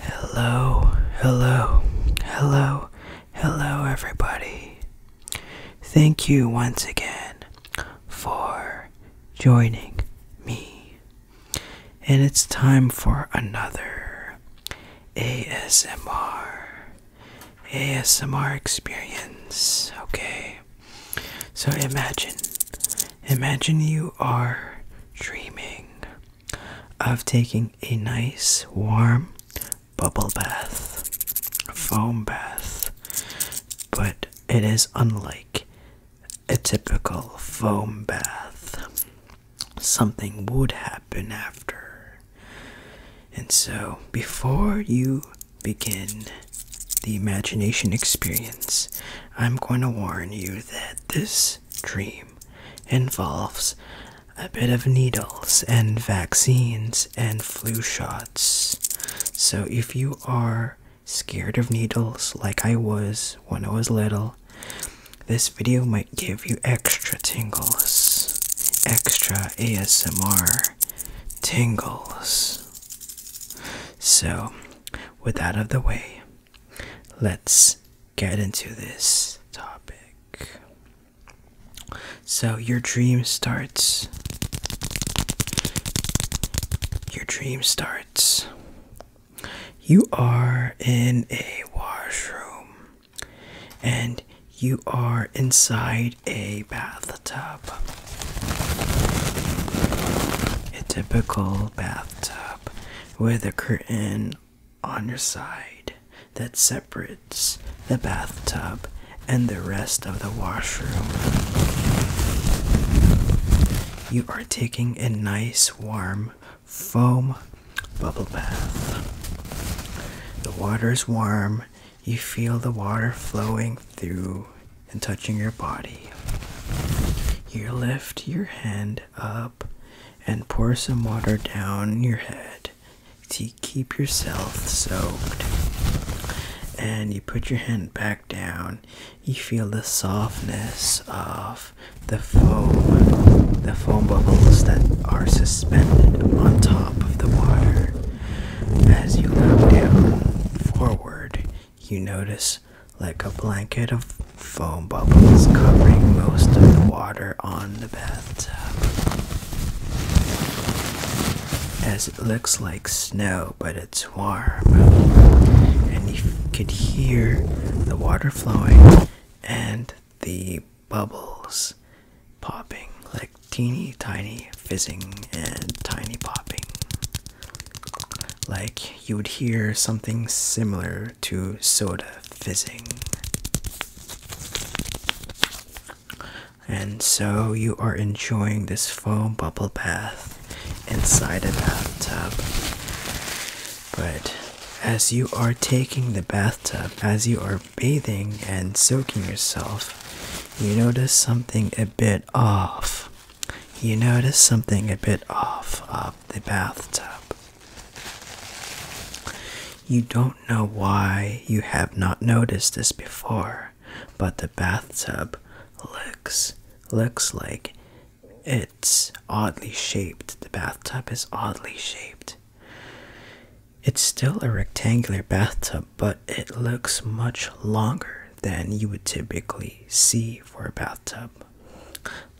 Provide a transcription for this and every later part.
Hello, hello, hello, hello, everybody. Thank you once again for joining me. And it's time for another ASMR. ASMR experience. Okay. So imagine Imagine you are dreaming of taking a nice warm bubble bath, a foam bath, but it is unlike a typical foam bath. Something would happen after. And so, before you begin the imagination experience, I'm going to warn you that this dream involves a bit of needles and vaccines and flu shots. So, if you are scared of needles like I was when I was little, this video might give you extra tingles, extra ASMR tingles. So, with that out of the way, let's get into this topic. So, your dream starts. Your dream starts. You are in a washroom and you are inside a bathtub. A typical bathtub bathtub with a curtain on your side that separates the bathtub and the rest of the washroom. You are taking a nice warm foam bubble bath. The water is warm, you feel the water flowing through and touching your body. You lift your hand up and pour some water down your head to keep yourself soaked. And you put your hand back down. You feel the softness of the foam, the foam bubbles that are suspended on top of the water. As you look down forward, you notice like a blanket of foam bubbles covering most of the water on the bathtub. As it looks like snow, but it's warm. And you could hear the water flowing and the bubbles popping like teeny tiny fizzing and tiny popping. Like you would hear something similar to soda fizzing. And so you are enjoying this foam bubble bath inside a bathtub. But as you are taking the bathtub, as you are bathing and soaking yourself, you notice something a bit off. You notice something a bit off. Uh, the bathtub. You don't know why you have not noticed this before, but the bathtub looks looks like it's oddly shaped. The bathtub is oddly shaped. It's still a rectangular bathtub, but it looks much longer than you would typically see for a bathtub.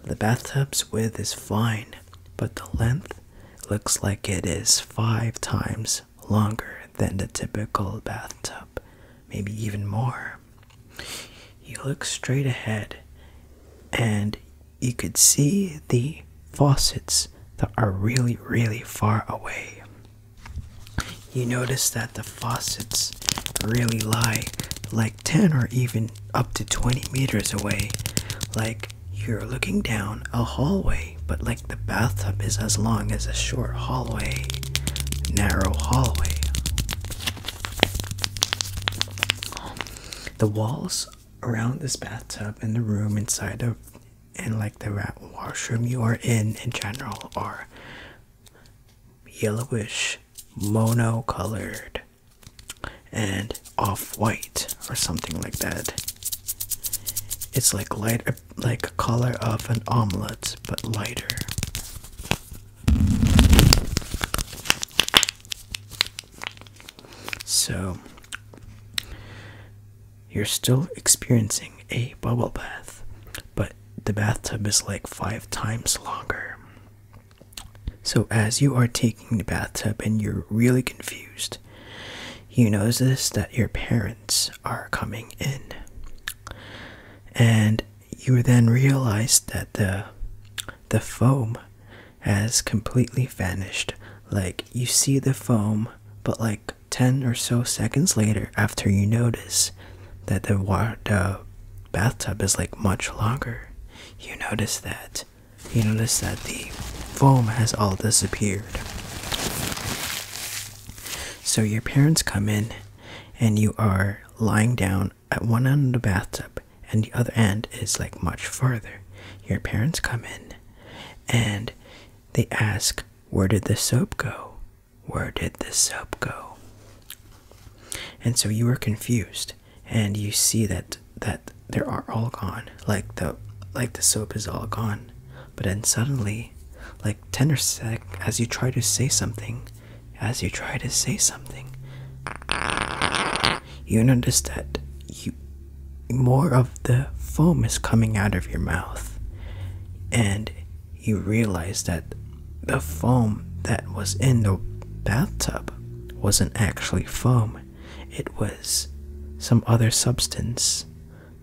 The bathtub's width is fine, but the length looks like it is five times longer than the typical bathtub, maybe even more. You look straight ahead, and you could see the faucets that are really, really far away. You notice that the faucets really lie like 10 or even up to 20 meters away. Like you're looking down a hallway, but like the bathtub is as long as a short hallway, narrow hallway. The walls around this bathtub and the room inside of and like the washroom you are in in general are yellowish, mono-colored, and off-white or something like that. It's like light, like color of an omelet, but lighter. So, you're still experiencing a bubble bath, but the bathtub is like five times longer. So, as you are taking the bathtub and you're really confused, you notice that your parents are coming in. And you then realize that the the foam has completely vanished. Like you see the foam, but like 10 or so seconds later after you notice that the water bathtub is like much longer. You notice that. You notice that the foam has all disappeared. So your parents come in and you are lying down at one end of the bathtub and the other end is like much farther. Your parents come in and they ask, Where did the soap go? Where did the soap go? and so you are confused and you see that that they are all gone like the like the soap is all gone but then suddenly like 10 or sec as you try to say something as you try to say something you notice that you more of the foam is coming out of your mouth and you realize that the foam that was in the bathtub wasn't actually foam, it was some other substance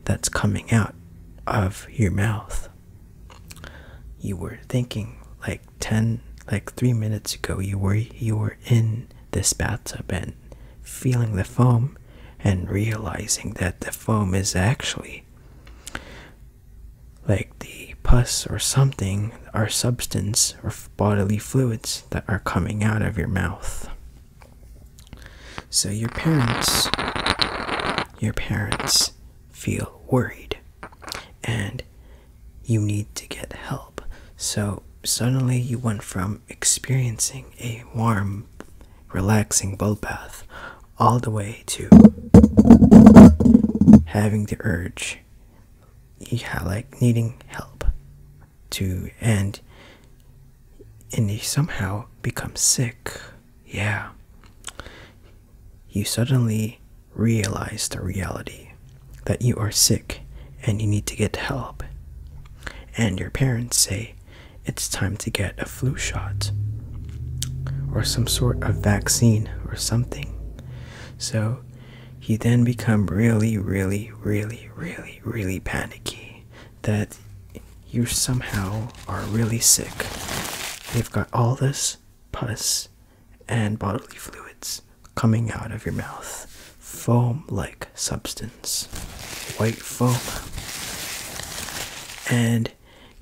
that's coming out of your mouth. You were thinking like 10 like 3 minutes ago you were you were in this bathtub and feeling the foam and realizing that the foam is actually like the pus or something are substance or bodily fluids that are coming out of your mouth so your parents your parents feel worried and you need to get help so suddenly you went from experiencing a warm relaxing bubble bath all the way to having the urge you have like needing help to and and you somehow become sick. Yeah. You suddenly realize the reality that you are sick and you need to get help. And your parents say it's time to get a flu shot or some sort of vaccine or something. So you then become really, really, really, really, really panicky that you somehow are really sick. You've got all this pus and bodily fluids coming out of your mouth, foam like substance, white foam. And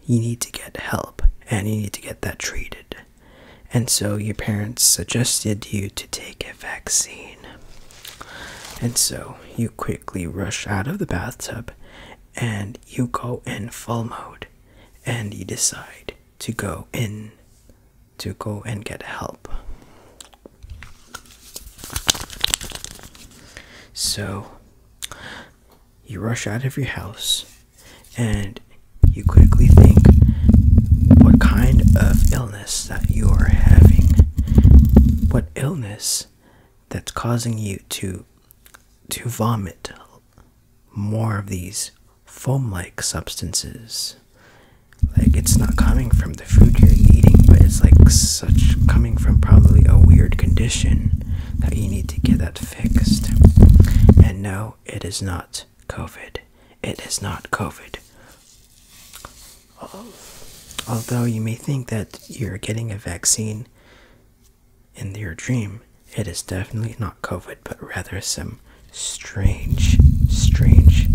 you need to get help and you need to get that treated and so your parents suggested you to take a vaccine. And so you quickly rush out of the bathtub and you go in full mode and you decide to go in to go and get help. So you rush out of your house and you quickly think what kind of illness that you are having, what illness that's causing you to to vomit more of these foam-like substances. Like it's not coming from the food you're eating, but it's like such coming from probably a weird condition that you need to get that fixed. And no, it is not COVID. It is not COVID. Although you may think that you're getting a vaccine in your dream, it is definitely not COVID, but rather some strange, strange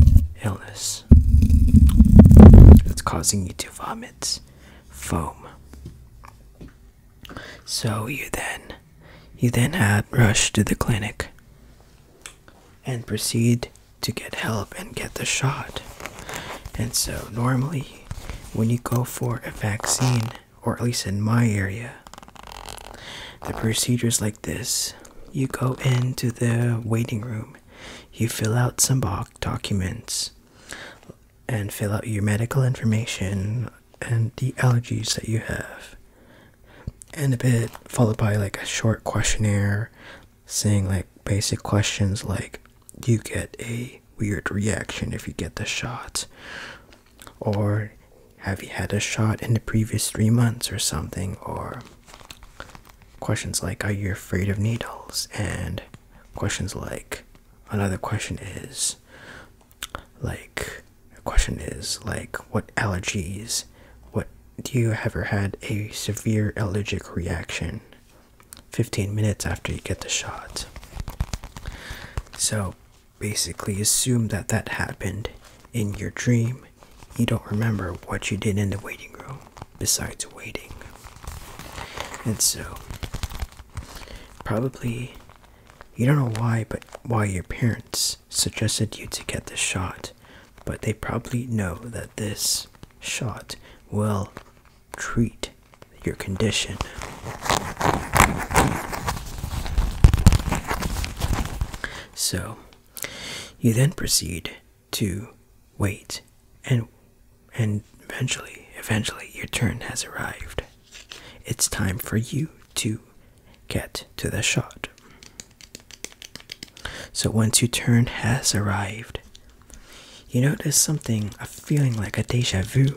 illness that's causing you to vomit foam. So you then you then had rush to the clinic and proceed to get help and get the shot. And so normally when you go for a vaccine, or at least in my area, the procedures like this, you go into the waiting room, you fill out some documents and fill out your medical information and the allergies that you have and a bit followed by like a short questionnaire saying like basic questions like do you get a weird reaction if you get the shot or have you had a shot in the previous three months or something or questions like are you afraid of needles and questions like another question is like the question is like what allergies what do you ever had a severe allergic reaction 15 minutes after you get the shot so basically assume that that happened in your dream you don't remember what you did in the waiting room besides waiting and so probably you don't know why but why your parents suggested you to get this shot, but they probably know that this shot will treat your condition. So, you then proceed to wait and and eventually eventually your turn has arrived. It's time for you to get to the shot. So once your turn has arrived, you notice something, a feeling like a deja vu.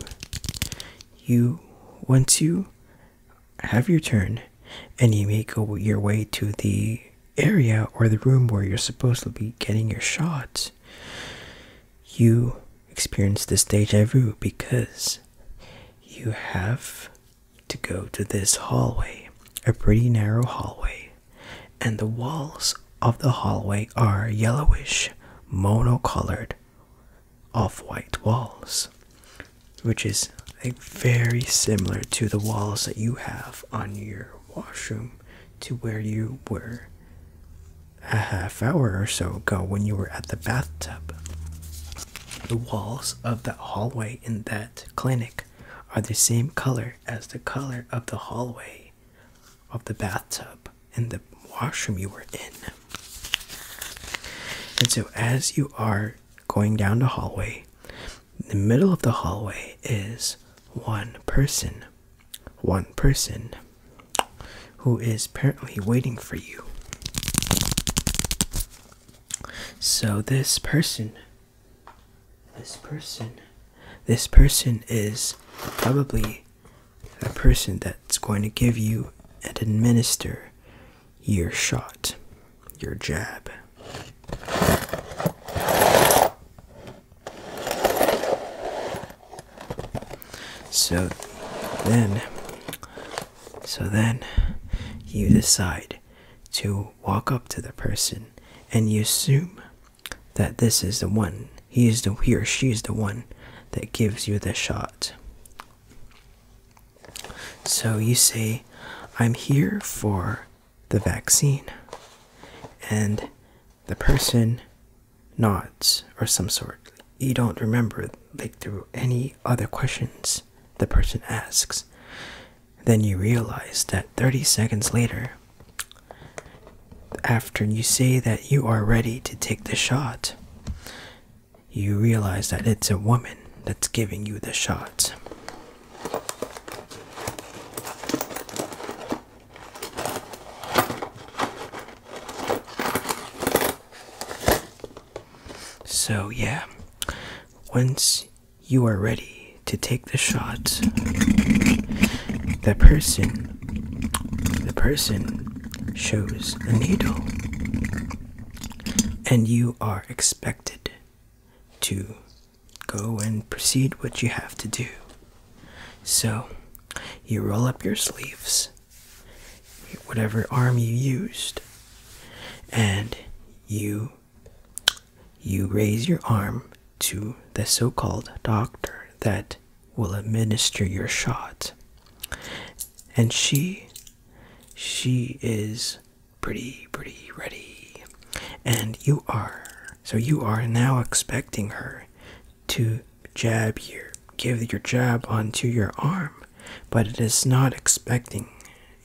You, once you have your turn, and you may go your way to the area or the room where you're supposed to be getting your shot, you experience this deja vu because you have to go to this hallway, a pretty narrow hallway, and the walls of the hallway are yellowish, monocolored, off white walls, which is like, very similar to the walls that you have on your washroom to where you were a half hour or so ago when you were at the bathtub. The walls of that hallway in that clinic are the same color as the color of the hallway of the bathtub in the washroom you were in. And so, as you are going down the hallway, the middle of the hallway is one person, one person who is apparently waiting for you. So this person, this person, this person is probably the person that's going to give you and administer your shot, your jab. So then so then you decide to walk up to the person and you assume that this is the one. He is the he or she is the one that gives you the shot. So you say, I'm here for the vaccine. And the person nods or some sort you don't remember like through any other questions the person asks then you realize that 30 seconds later after you say that you are ready to take the shot you realize that it's a woman that's giving you the shot so, yeah, once you are ready to take the shot, the person, the person shows the needle, and you are expected to go and proceed what you have to do. So, you roll up your sleeves whatever arm you used and you you raise your arm to the so-called doctor that will administer your shot and she she is pretty pretty ready and you are so you are now expecting her to jab your give your jab onto your arm but it is not expecting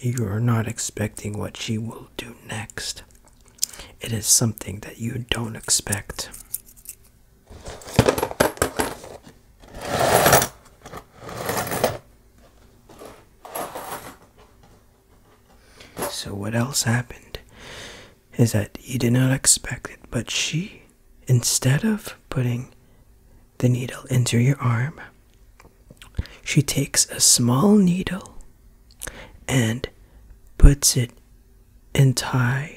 you are not expecting what she will do next. It is something that you don't expect. So, what else happened is that you did not expect it, but she, instead of putting the needle into your arm, she takes a small needle and puts it entire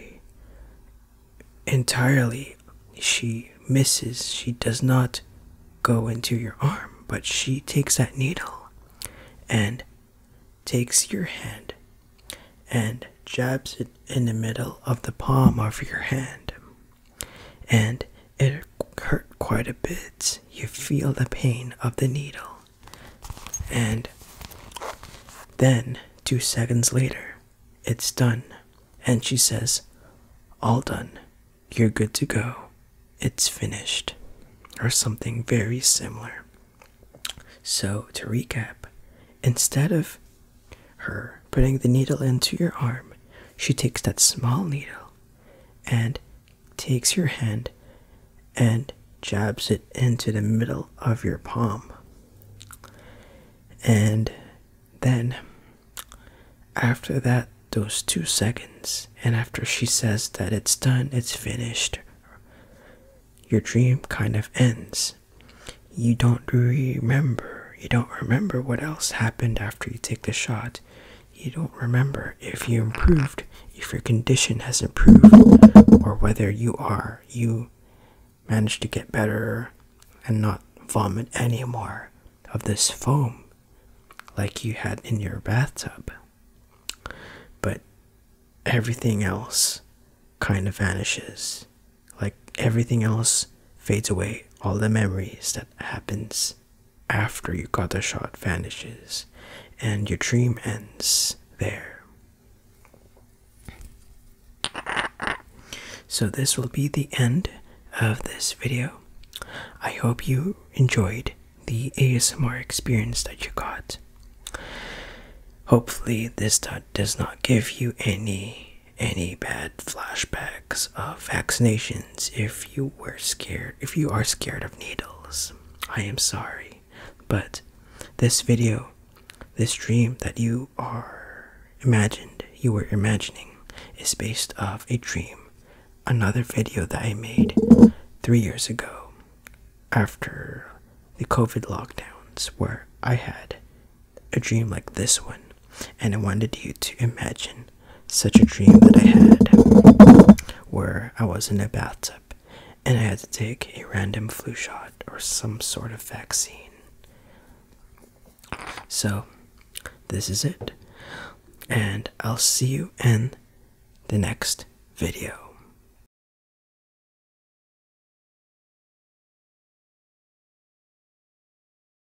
entirely she misses she does not go into your arm but she takes that needle and takes your hand and jabs it in the middle of the palm of your hand and it hurt quite a bit. You feel the pain of the needle, and then two seconds later, it's done. And she says, All done. You're good to go. It's finished. Or something very similar. So, to recap, instead of her putting the needle into your arm, she takes that small needle and takes your hand and jabs it into the middle of your palm. And then, after that, those two seconds, and after she says that it's done, it's finished, your dream kind of ends. You don't remember you don't remember what else happened after you take the shot. You don't remember if you improved, if your condition has improved, or whether you are, you managed to get better and not vomit anymore of this foam like you had in your bathtub. But everything else kind of vanishes. Like everything else fades away all the memories that happens after you got the shot vanishes and your dream ends there so this will be the end of this video i hope you enjoyed the asmr experience that you got hopefully this does not give you any any bad flashbacks of vaccinations if you were scared if you are scared of needles i am sorry but this video this dream that you are imagined you were imagining is based off a dream another video that i made 3 years ago after the covid lockdowns where i had a dream like this one and I wanted you to imagine such a dream that I had where I was in a bathtub and I had to take a random flu shot or some sort of vaccine. So, this is it, and I'll see you in the next video.